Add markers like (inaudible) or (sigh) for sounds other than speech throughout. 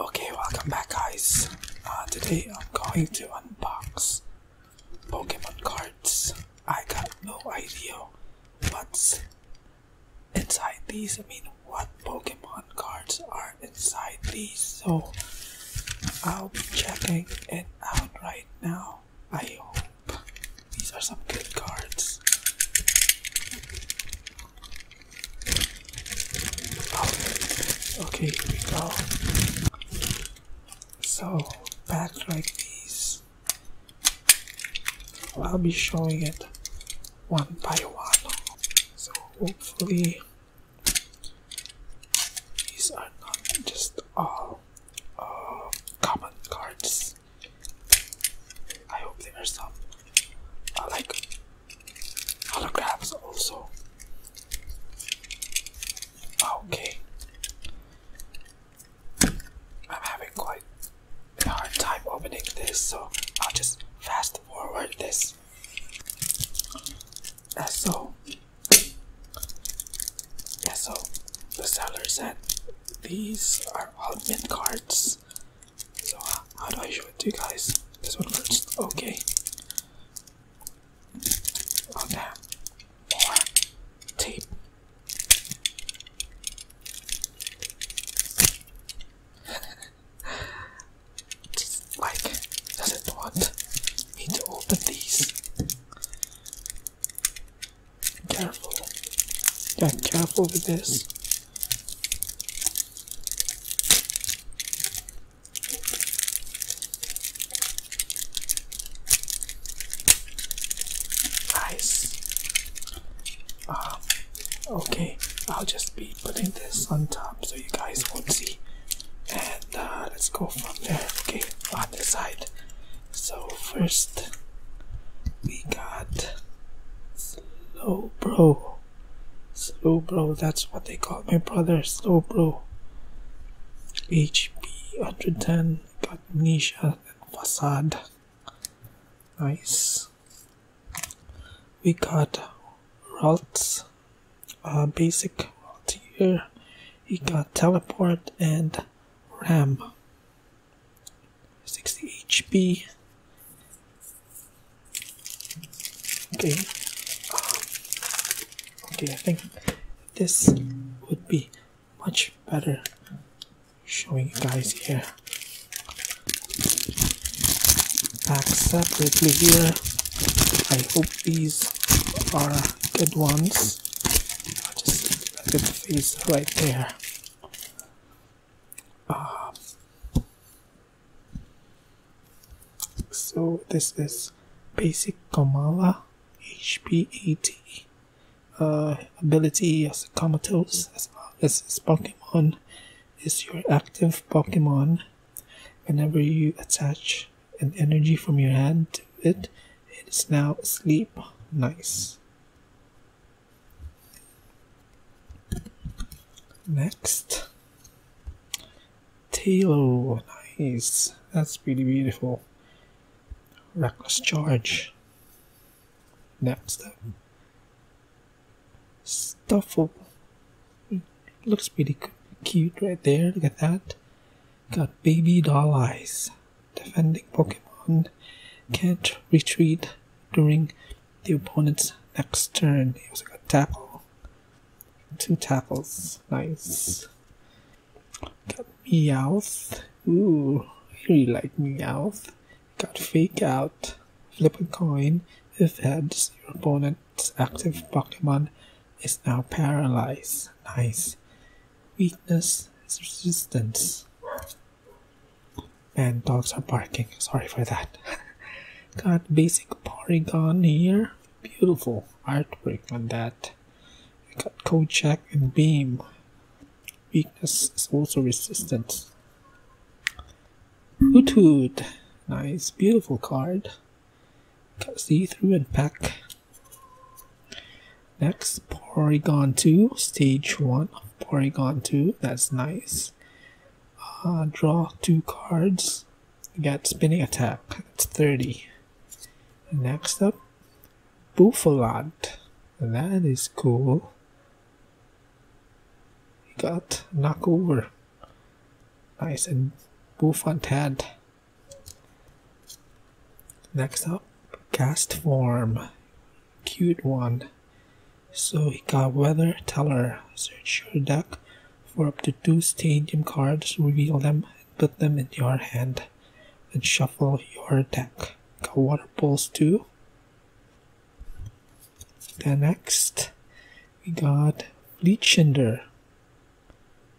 Okay, welcome back guys. Uh, today I'm going to unbox Pokemon cards. I got no idea what's inside these. I mean, what Pokemon cards are inside these. So I'll be checking it out right now. I hope these are some good cards. okay, here we go. So, packed like these, I'll be showing it one by one. So, hopefully, these are not just all uh, common cards. I hope there are some uh, like holograms also. Okay. I'm having quite a hard time opening this, so I'll just fast forward this. So, yeah, so the seller said these are all mint cards. So how do I show it to you guys? This one first. Okay. Oh More tape. (laughs) like doesn't want me to open these. Careful. Yeah, careful with this. Nice. Um, okay, I'll just be putting this on top so you guys won't see. And uh, let's go from there. Okay, on this side. So first we got Slow Bro. Slow Bro, that's what they call my brother, Slow Bro. HP 110, got Nisha and Facade. Nice. We got Ralts, uh, basic Ralt here. He got Teleport and Ram. 60 HP. Okay. Okay, I think this would be much better showing you guys here. Back separately here. I hope these are good ones. Look at the face right there. Uh, so this is basic Kamala HP80. Uh, ability as a comatose as long as this Pokemon is your active Pokemon. Whenever you attach an energy from your hand to it, it is now asleep. Nice. Next, Talo, nice. That's pretty beautiful. Reckless Charge. Next up, Stuffle. Looks pretty cute right there. Look at that. Got baby doll eyes defending Pokemon can't retreat during the opponent's next turn. He also got tackle. Two tackles, Nice. Got Meowth. Ooh, I really like Meowth. Got freak Out. Flip a coin. If heads, your opponent's active Pokemon is now paralyzed. Nice. Weakness is resistance. And dogs are barking. Sorry for that. (laughs) Got basic Porygon here. Beautiful artwork on that. Got got check and Beam. Weakness is also resistance. Hoot Nice, beautiful card. Got see through and pack. Next, Porygon 2, stage 1 of Porygon 2. That's nice. Uh, draw two cards. You got spinning attack. It's 30. Next up, Buffalot. That is cool. You got Knockover. Nice. And Buffantad. Next up, cast form. Cute one. So we got Weather Teller. Search your deck for up to two stadium cards, reveal them, put them in your hand. And shuffle your deck. Got Water Pulse too. Then next, we got Fleetshinder.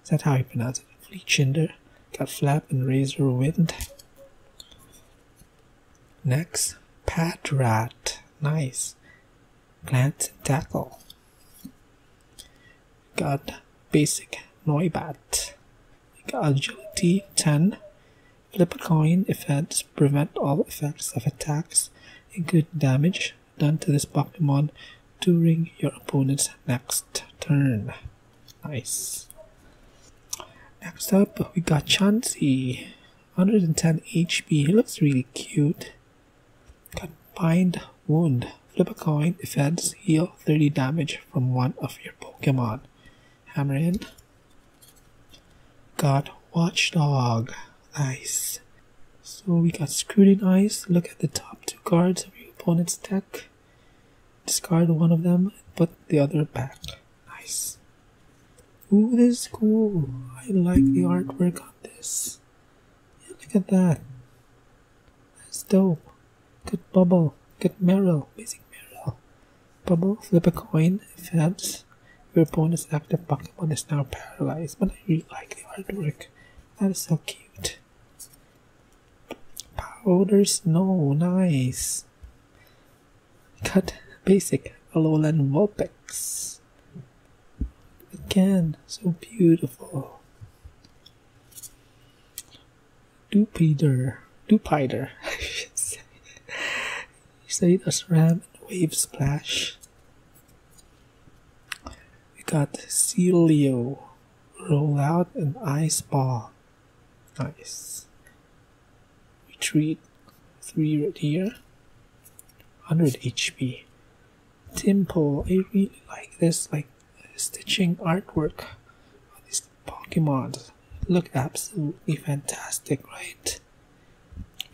Is that how you pronounce it? Fleetshinder. Got Flap and Razor Wind. Next, pat rat, nice. Plant tackle. Got basic noibat. agility 10. Flip a coin effects prevent all effects of attacks and damage done to this Pokemon during your opponent's next turn. Nice. Next up, we got Chansey. 110 HP. He looks really cute. Got Bind Wound. Flip a coin, defense, heal 30 damage from one of your Pokemon. Hammer in. Got Watchdog. Nice. So we got Scrutinize. Look at the top two cards of your opponent's deck. Discard one of them and put the other back. Nice. Ooh, this is cool. I like the artwork on this. look at that. That's dope. Good bubble. Good Meryl. Basic Meryl. Bubble, flip a coin. If heads, your opponent's active Pokemon is now paralyzed. But I really like the artwork. That is so cute. Powder Snow. Nice. Wolpex. Cut basic lowland Wolpex. Again, so beautiful. Dupider, Dupider, I should say. Said a SRAM and Wave Splash. We got roll out an Ice Ball. Nice. retreat 3 right here 100 HP Temple I really like this like stitching artwork on these Pokemon look absolutely fantastic right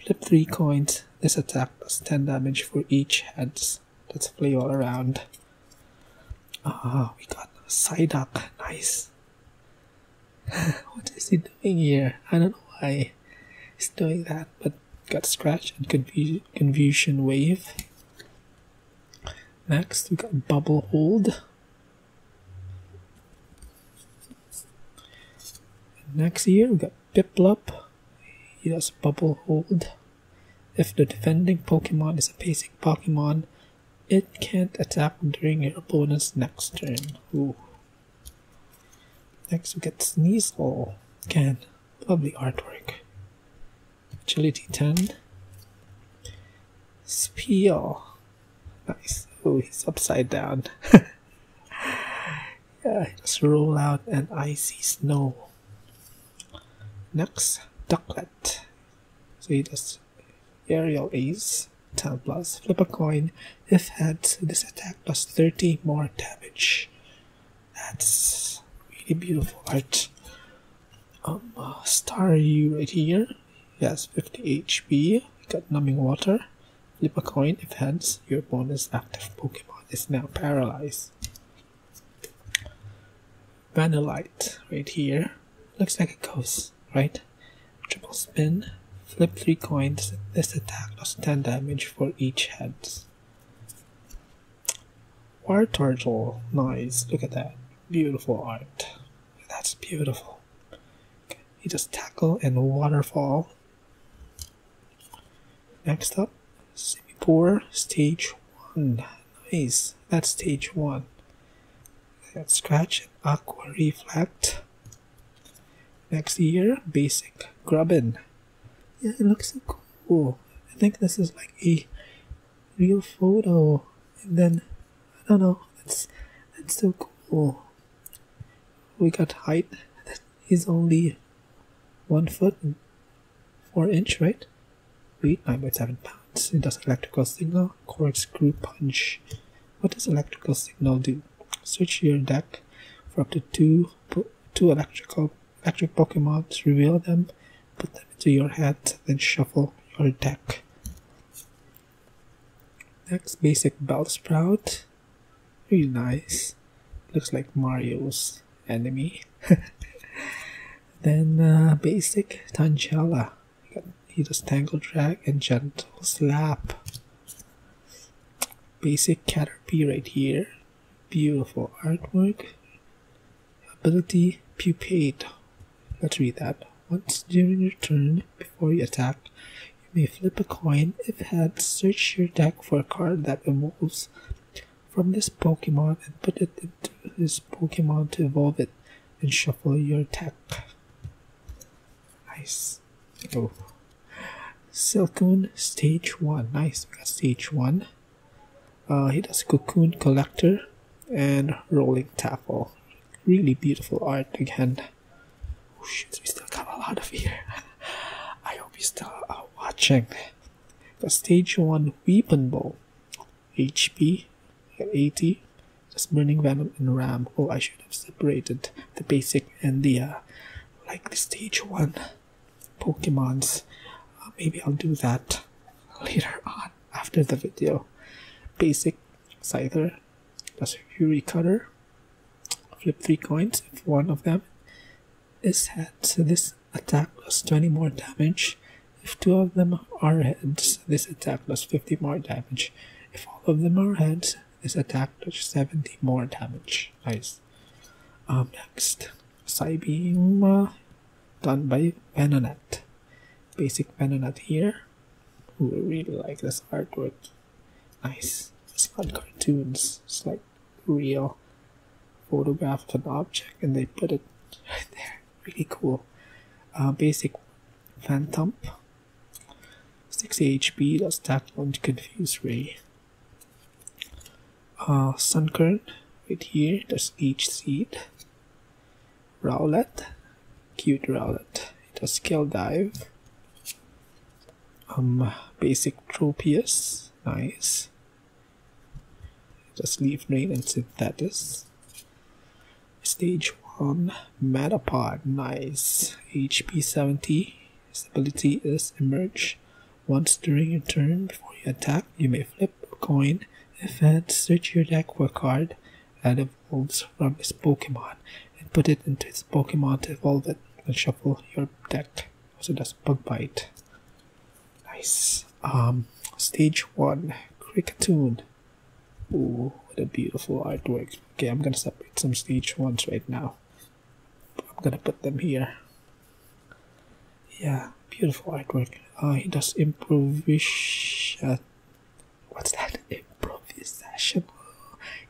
flip 3 coins this attack plus does 10 damage for each heads let's play all around ah we got Psyduck nice (laughs) what is he doing here? I don't know why he's doing that, but got scratch and confusion wave. Next, we got bubble hold. Next here, we got Piplup. He does bubble hold. If the defending Pokemon is a basic Pokemon, it can't attack during your opponent's next turn. Next we get Sneasel. Can. Lovely artwork. Agility 10. Spiel. Nice. Oh, he's upside down. (laughs) yeah, just roll out an icy snow. Next, Ducklet. So that's aerial ace, 10 plus, flip a coin. If heads, this attack plus 30 more damage. That's really beautiful art. Um, uh, star right here. He has 50 HP. got numbing water. Flip a coin. If heads, your bonus active Pokemon is now paralyzed. Vanillite right here. Looks like a ghost, right? Triple spin, flip three coins. This attack does 10 damage for each heads. War turtle, nice. Look at that, beautiful art. That's beautiful. You just tackle and waterfall. Next up, Semi Stage 1. Nice, that's stage 1 and scratch and aqua reflect next year basic grubbin yeah it looks so cool i think this is like a real photo and then i don't know that's that's so cool we got height that is only one foot four inch right Weight 9 by 7 pounds. It does electrical signal, correct screw punch. What does electrical signal do? Switch your deck for up to two, two electrical electric Pokemon reveal them, put them into your hand, then shuffle your deck. Next, basic Bellsprout. Really nice. Looks like Mario's enemy. (laughs) then uh, basic Tangela. He does Tangle Drag and Gentle Slap. Basic Caterpie right here. Beautiful artwork. Ability Pupate. Let's read that. Once during your turn, before you attack, you may flip a coin. If heads, search your deck for a card that evolves from this Pokemon and put it into this Pokemon to evolve it and shuffle your deck. Nice. Oh. Silcoon stage 1. Nice. We got stage 1. Uh, he does Cocoon Collector and Rolling Taffel. Really beautiful art again. Oh shit, we still got a lot of here. (laughs) I hope we still are uh, watching. The stage 1 weapon bow. HP and 80 just Burning Venom and Ram. Oh, I should have separated the basic and the uh, like the stage one Pokemons. Uh, maybe I'll do that later on after the video. Basic Scyther, plus Fury Cutter. Flip three coins if one of them is hit. So this attack does 20 more damage if two of them are heads, this attack does 50 more damage. If all of them are heads, this attack does 70 more damage. Nice. Um, next, Psybeam uh, done by Venonat. Basic Venonat here. Ooh, I really like this artwork. Nice. It's not cartoons. It's like real photograph of an object and they put it right (laughs) there. Really cool. Uh, basic Phantom. 60 HP, Does that one to confuse Ray. Uh, Sunkern, right here, Does each seed. Rowlet, cute Rowlet. It has Skill Dive. Um, basic Tropius, nice. Just Leaf Drain and Synthetis. Stage 1 Metapod, nice. HP 70. His ability is Emerge. Once during your turn before you attack, you may flip a coin. If and search your deck for a card that evolves from his Pokemon and put it into his Pokemon to evolve it and shuffle your deck. Also does bug bite. Nice. Um stage one Cricketune. Oh, what a beautiful artwork. Okay, I'm gonna separate some stage ones right now. I'm gonna put them here. Yeah, beautiful artwork. Uh, he does improvisation. What's that? (laughs) Improvisation.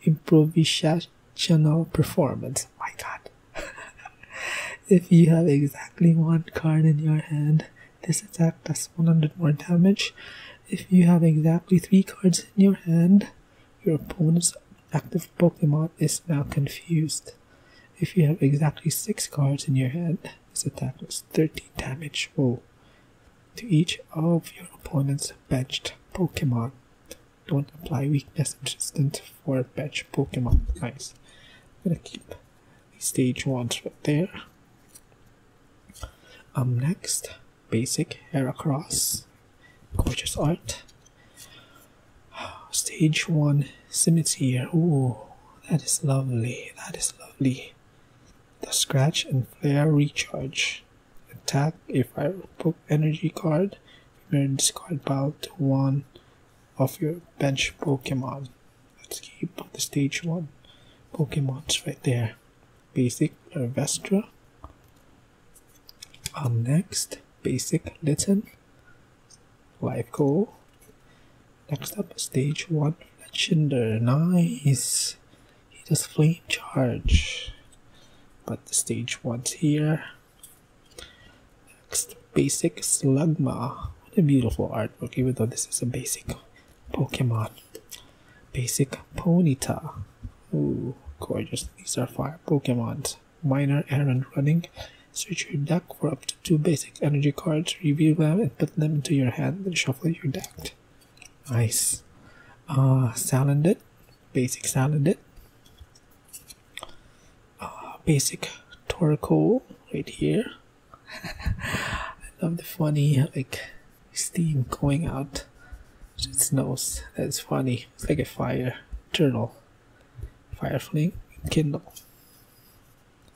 Improvisational performance. My god. (laughs) if you have exactly one card in your hand, this attack does 100 more damage. If you have exactly 3 cards in your hand, your opponent's active Pokemon is now confused. If you have exactly 6 cards in your hand, this attack does 30 damage Oh, to each of your opponent's benched Pokemon. Don't apply weakness resistant for bench Pokemon. Nice. I'm gonna keep stage ones right there um next basic hair across gorgeous art stage one cemetery Ooh, that is lovely that is lovely the scratch and flare recharge attack if i book energy card you may discard pile to one of your bench pokemon Let's keep the stage 1 Pokemons right there. Basic Vestra. Um, next, Basic Litten. Life Goal. Next up, Stage 1 Legendary. Nice! He does Flame Charge. But the Stage 1's here. Next, Basic Slugma. What a beautiful artwork, even though this is a basic Pokemon. Basic Ponyta. Ooh, gorgeous. These are fire Pokemon. Minor errand running. Switch your deck for up to two basic energy cards, review them, and put them into your hand, then shuffle your deck. Nice. Uh, Salandit. Basic Salandit. Uh, basic Torkoal right here. (laughs) I love the funny like steam going out its nose. That's funny. It's like a fire turtle. Fire flame Kindle.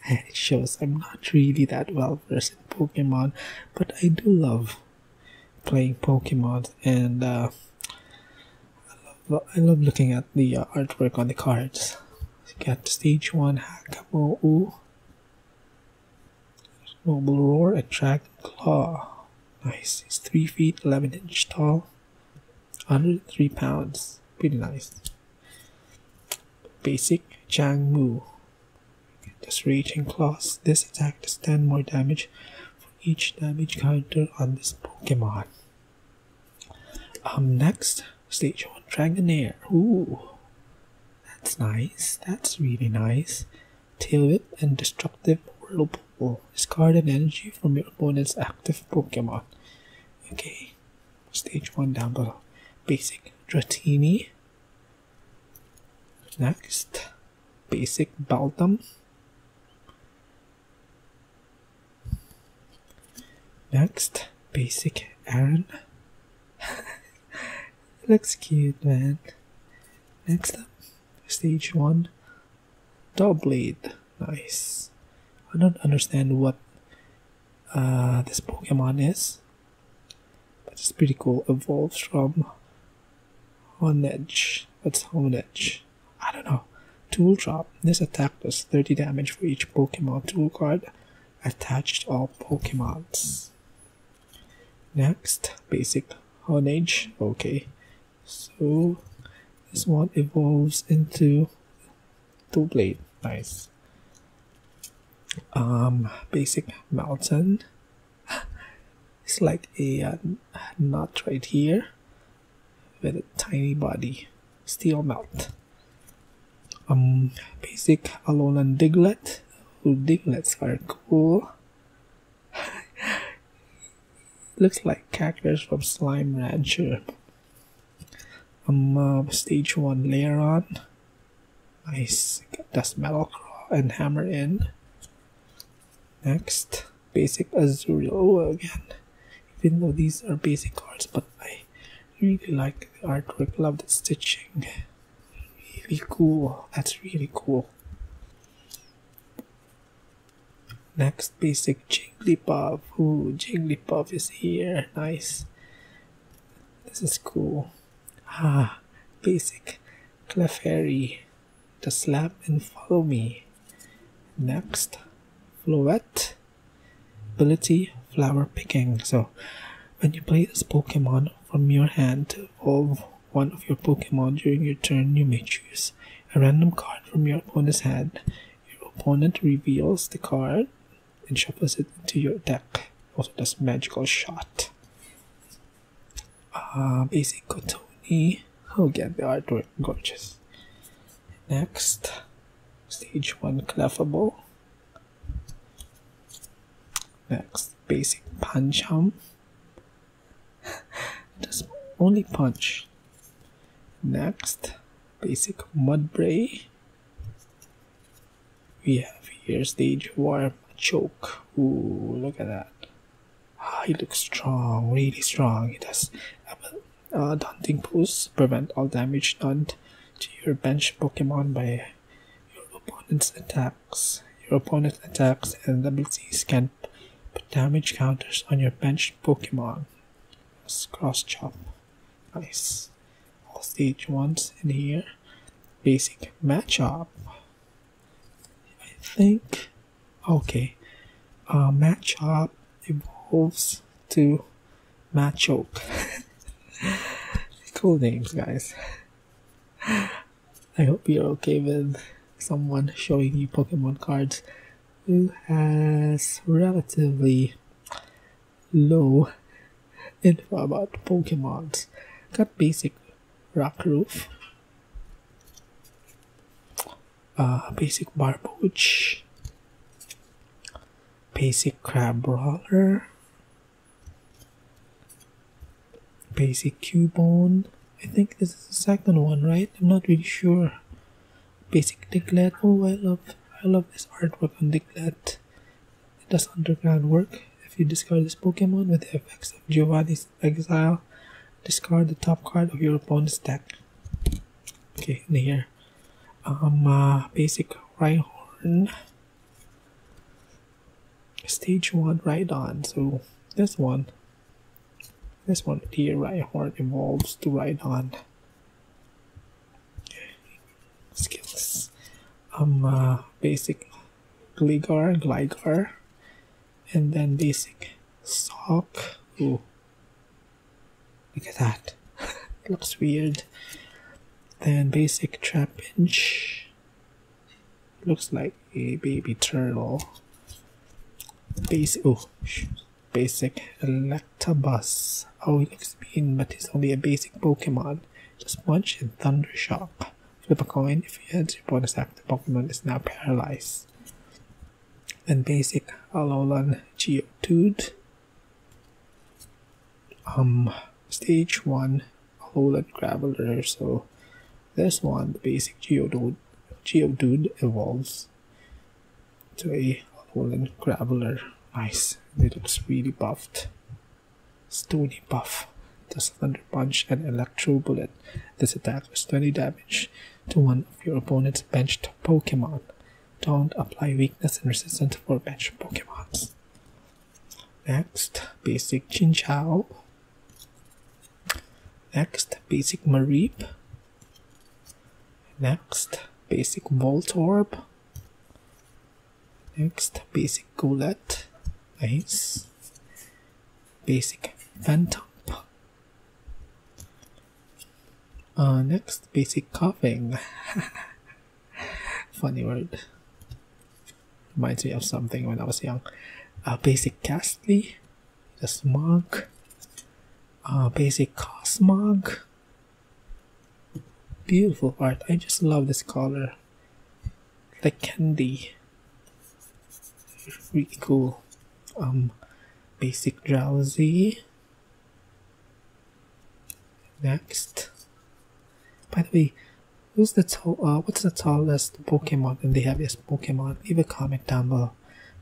And (laughs) it shows I'm not really that well versed in Pokemon, but I do love playing Pokemon and I, uh, love, I love looking at the uh, artwork on the cards. You got stage one Hakamo Noble Roar attack Claw. Nice. He's 3 feet 11 inch tall. 103 pounds. Pretty nice. Basic Chang Mu. Just Raging Claws. This attack does 10 more damage for each damage counter on this Pokemon. Um, next, Stage 1 Dragonair. Ooh. That's nice. That's really nice. Tail Whip and Destructive Whirlpool. Discard an energy from your opponent's active Pokemon. Okay. Stage 1 down below. Basic Dratini. Next. Basic Baltam. Next. Basic Aaron. (laughs) Looks cute, man. Next up, stage 1 Double Blade. Nice. I don't understand what uh, this Pokemon is, but it's pretty cool. Evolves from Honedge. What's Honedge? I don't know. Tool Drop. This attack does 30 damage for each Pokemon tool card attached all Pokemons. Next, basic Honedge. Okay, so this one evolves into two blade. Nice. Um, basic Melton. (laughs) it's like a uh, nut right here with a tiny body. Steel Melton. Um, basic Alolan Diglett. Ooh, Diglets are cool. (laughs) Looks like characters from Slime Rancher. Um, uh, stage 1 layer Lairon. Nice. Metal Claw and Hammer in. Next, basic Azurill. again. Even though these are basic cards, but I really like the artwork. Love the stitching. Really cool. That's really cool. Next basic Jigglypuff. Ooh, Jigglypuff is here. Nice. This is cool. Ah, basic Clefairy. Just slap and follow me. Next, Floette. Ability, flower picking. So, when you play this Pokemon from your hand to one of your Pokemon during your turn, you may choose a random card from your opponent's hand. Your opponent reveals the card and shuffles it into your deck. Also does magical shot. Uh, um, basic Kotoni. Oh again, the artwork gorgeous. Next, stage one Clefable. Next, basic punch arm. (laughs) Just only punch. Next, basic mudbray. We have here stage one choke. Ooh, look at that. Ah, he looks strong, really strong. He does a uh, daunting pose, prevent all damage done to your bench Pokemon by your opponent's attacks. Your opponent's attacks and abilities can put damage counters on your bench Pokemon. cross chop. Nice. All stage ones in here. Basic matchup. I think. Okay. Uh, matchup evolves to Matt (laughs) cool names, guys. I hope you're okay with someone showing you Pokemon cards who has relatively low info about Pokemon. Got basic Rock Roof, uh, basic Barboach, basic Crab Brawler, Basic Cubone. I think this is the second one, right? I'm not really sure. Basic Diglett. Oh, I love, I love this artwork on Diglett. It does underground work. If you discard this Pokemon with the effects of Giovanni's Exile, discard the top card of your opponent's deck. Okay, in here. Um, uh, basic Rhyhorn. Stage 1 right on. So this one, this one here, right heart evolves to right on. Skills. Um, uh, basic Gligar, Gligar, and then basic Sock. Ooh, look at that. (laughs) looks weird. Then basic trapinch. Looks like a baby turtle. Basic, oh, basic Electabuzz. Oh, it looks mean, but it's only a basic Pokemon. Just punch and Thunder Shock. Flip a coin. If you hit your bonus the Pokemon is now paralyzed. Then basic Alolan Geodude um stage one lowland graveler so this one the basic geodude geodude evolves to a lowland graveler nice it looks really buffed stony buff does thunder punch and electro bullet this attack does 20 damage to one of your opponent's benched pokemon don't apply weakness and resistance for bench Pokémon. Next, basic chin chow. Next, basic marib. Next, basic voltorb. Next, basic goulet. Nice. Basic phantom. Uh, next, basic coughing. (laughs) Funny word. Reminds me of something when I was young. Uh, basic castly, the smog, uh, basic cosmos. Beautiful art. I just love this color. Like candy. Really cool. Um, basic drowsy. Next, by the way, who's the to- uh, what's the tallest Pokemon and the heaviest Pokemon? Leave a comment down below.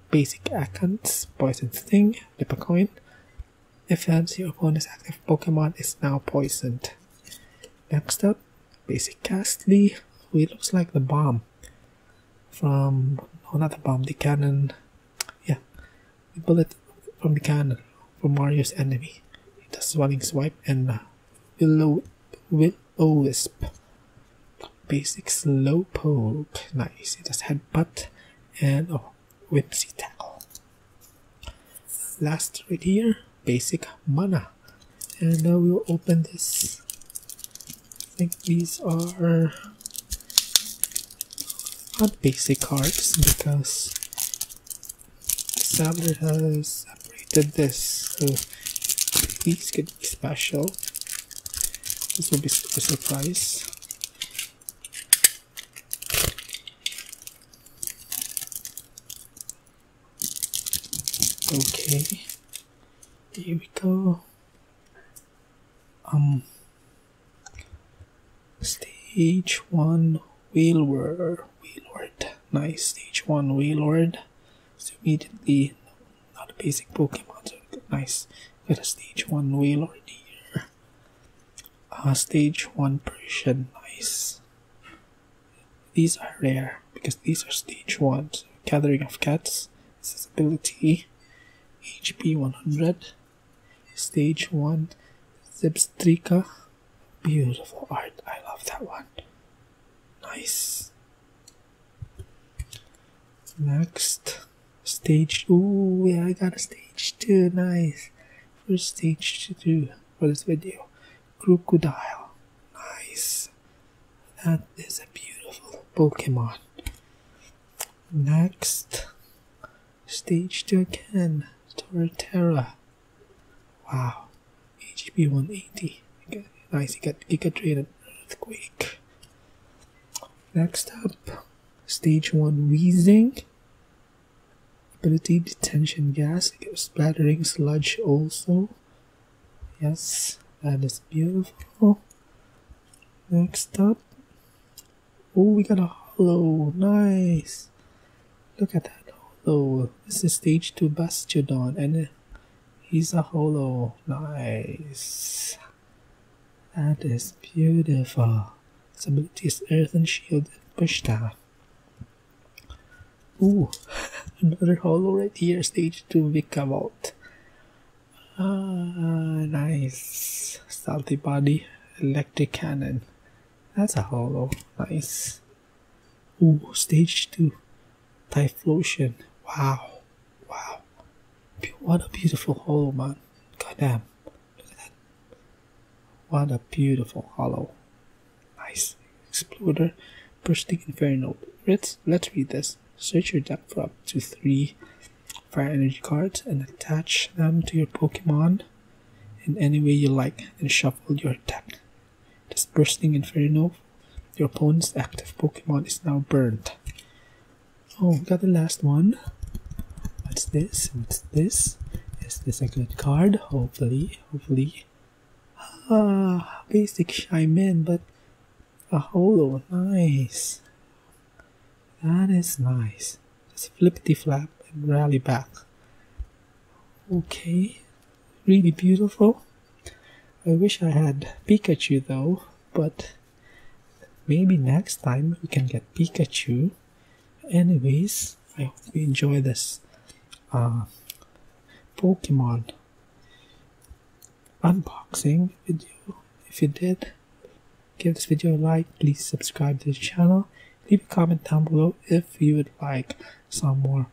Basic Akans, Poison Sting, flip coin. If fancy your opponent's active Pokemon is now poisoned. Next up, Basic Castly, who looks like the bomb from no not the bomb, the cannon. Yeah, the bullet from the cannon for Mario's enemy, the Swelling Swipe and the Willow, Will-O-Wisp. Basic slow poke, nice. It has Headbutt and oh, Whimsy Tackle. Last right here, basic Mana. And now we'll open this. I think these are not basic cards because the Sabre has separated this, so these could be special. This will be a surprise. Okay, here we go. Um, Stage 1 Wheelward. Wheelward. Nice. Stage 1 Wheelward. So immediately, not a basic Pokemon. So nice. Got a stage 1 Wheelward here. Uh, stage 1 Persian. Nice. These are rare because these are stage 1. gathering of Cats. This is ability. HP 100. Stage 1 Zebstrika Beautiful art. I love that one. Nice. Next. Stage. Oh yeah, I got a stage two. Nice. First stage to do for this video. Crocodile. Nice. That is a beautiful Pokemon. Next. Stage 2 again. Torterra. Wow, HP 180. Nice, he got Giga Drain and Earthquake. Next up, Stage 1 Wheezing. Ability Detention Gas, Splattering Sludge also. Yes, that is beautiful. Next up, oh, we got a hollow. Nice. Look at that Oh, This is stage 2 Bastiodon and uh, he's a Hollow. Nice. That is beautiful. Its ability Earth and Shield and Push Staff. Ooh, (laughs) another Hollow right here. Stage 2 Vikavolt. Ah, nice. Salty Body. Electric Cannon. That's a hollow. Nice. Ooh, stage two. Typhlosion. Wow. Wow. What a beautiful hollow, man. Goddamn. Look at that. What a beautiful hollow. Nice. Exploder. Bursting Inferno. Let's, let's read this. Search your deck for up to three fire energy cards and attach them to your Pokemon in any way you like and shuffle your deck. Dispersing Inferno, your opponent's active Pokemon is now burned. Oh, got the last one. What's this? What's this? Is this a good card? Hopefully, hopefully. Ah, basic I'm but a holo, nice. That is nice flip the flap and rally back okay really beautiful I wish I had Pikachu though but maybe next time we can get Pikachu anyways I hope you enjoy this uh, Pokemon unboxing video if you did give this video a like please subscribe to the channel Leave a comment down below if you would like some more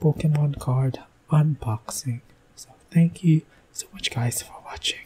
Pokemon card unboxing. So thank you so much guys for watching.